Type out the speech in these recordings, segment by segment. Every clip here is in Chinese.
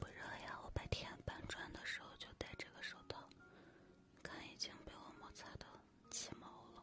不热呀，我白天搬砖的时候就戴这个手套。看，已经被我摩擦的起毛了。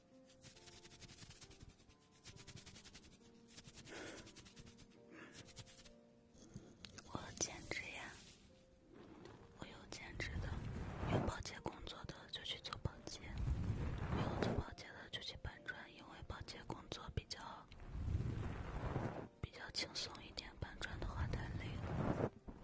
我兼职呀，我有兼职的，有保洁工作的就去做保洁，有做保洁的就去搬砖，因为保洁工作比较比较轻松一点，搬砖的话太累了。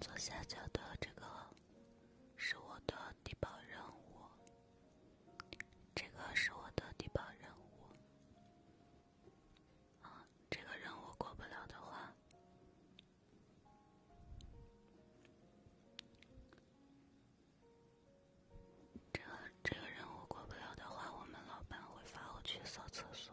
左下角的这个是我的低保任务，这个是我的低保任务。啊，这个任务过不了的话。这这个任务过不了的话，我们老板会罚我去扫厕所。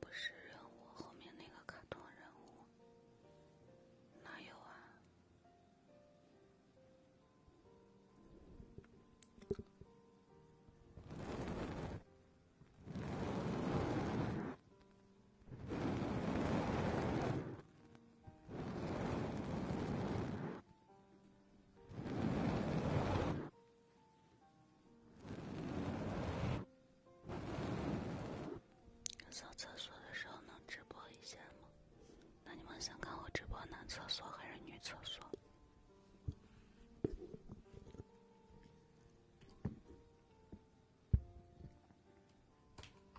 不是人物，后面那个卡通人物，哪有啊？上厕所的时候能直播一下吗？那你们想看我直播男厕所还是女厕所？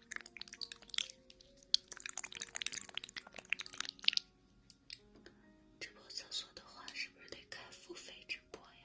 直播厕所的话，是不是得开付费直播呀？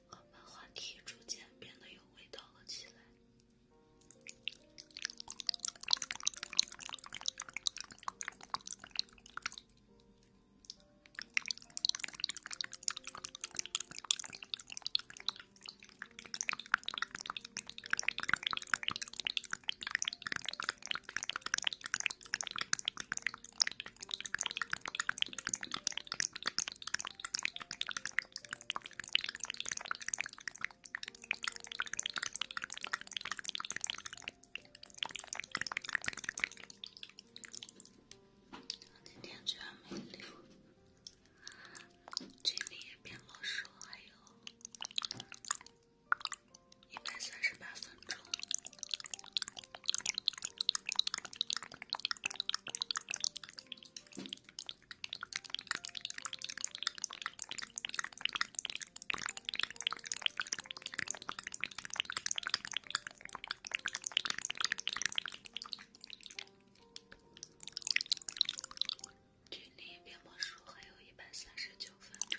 我们话题逐渐变得有味道了起来。今天居然没录，距离变魔术还有一百三八分钟。距离变魔术还有一百三十九分。钟。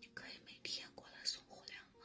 你可以每天过来送货粮吗？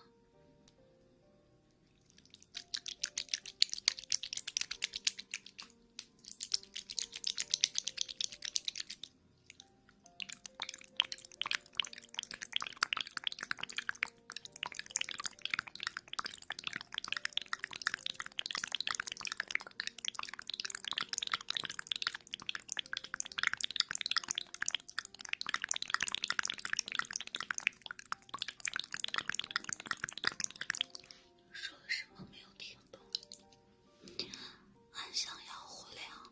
说了什么？没有听懂。俺想要火疗。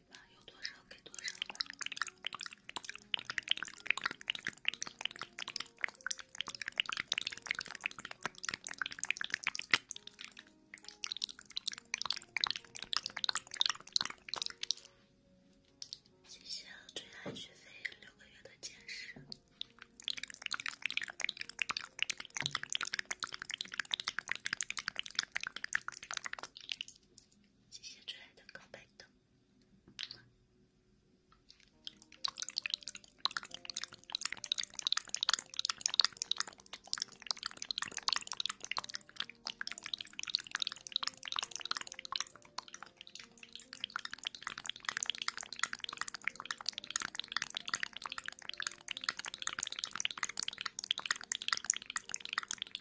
有多少给多少吧。接下来追加学费六个月的见识。谢谢最爱的高倍灯。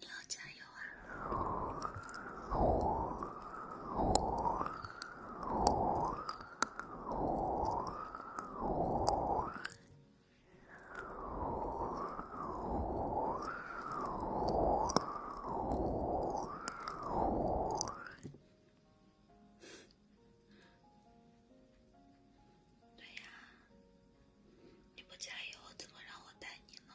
你要加油啊！对呀，你不加油怎么让我带你呢？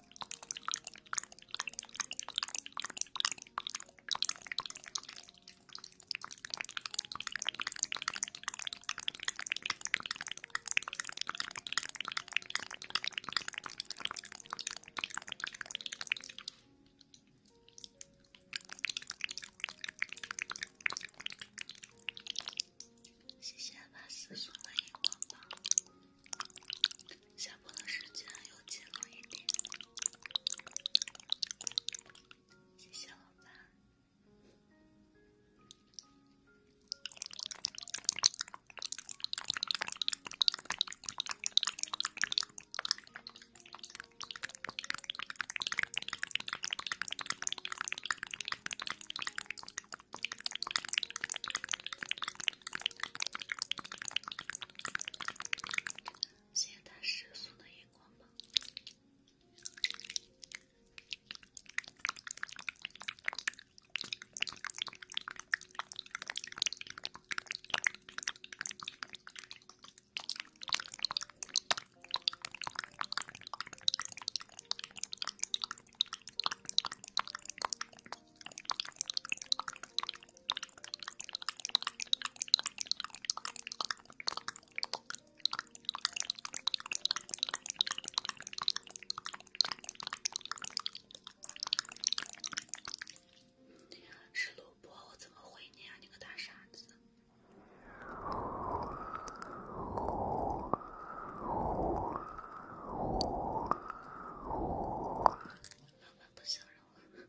谢谢大师送的荧光棒。下播的时间又近了一点，谢谢老板。谢谢大师送的荧光棒。是卢博，我怎么回你呀？你个大傻子！老板不想让我，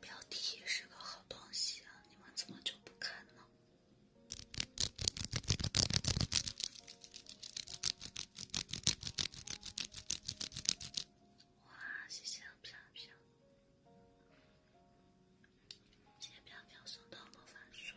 标题是个好东西啊，你们怎么就不看呢？哇，谢谢飘飘，谢谢飘飘送的魔法书。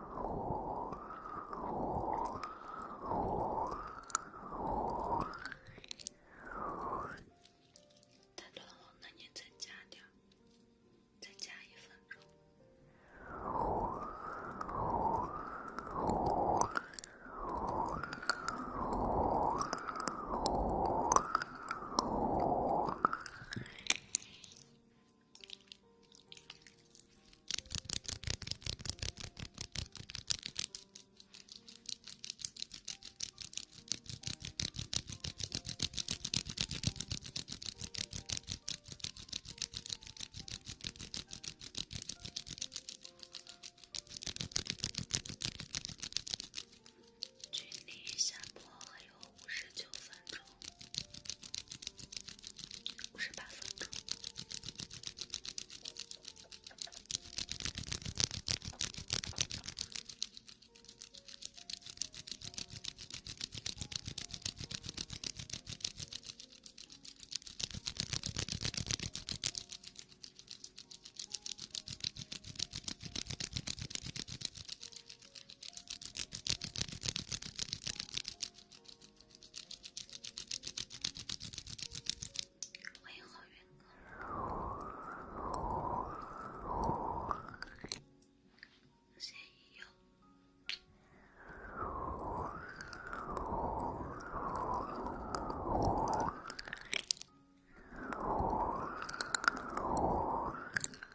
太多了，那您再加点儿，再加一分钟。距离下播还有五十九分钟。五十八分钟。欢迎好运哥，谁有？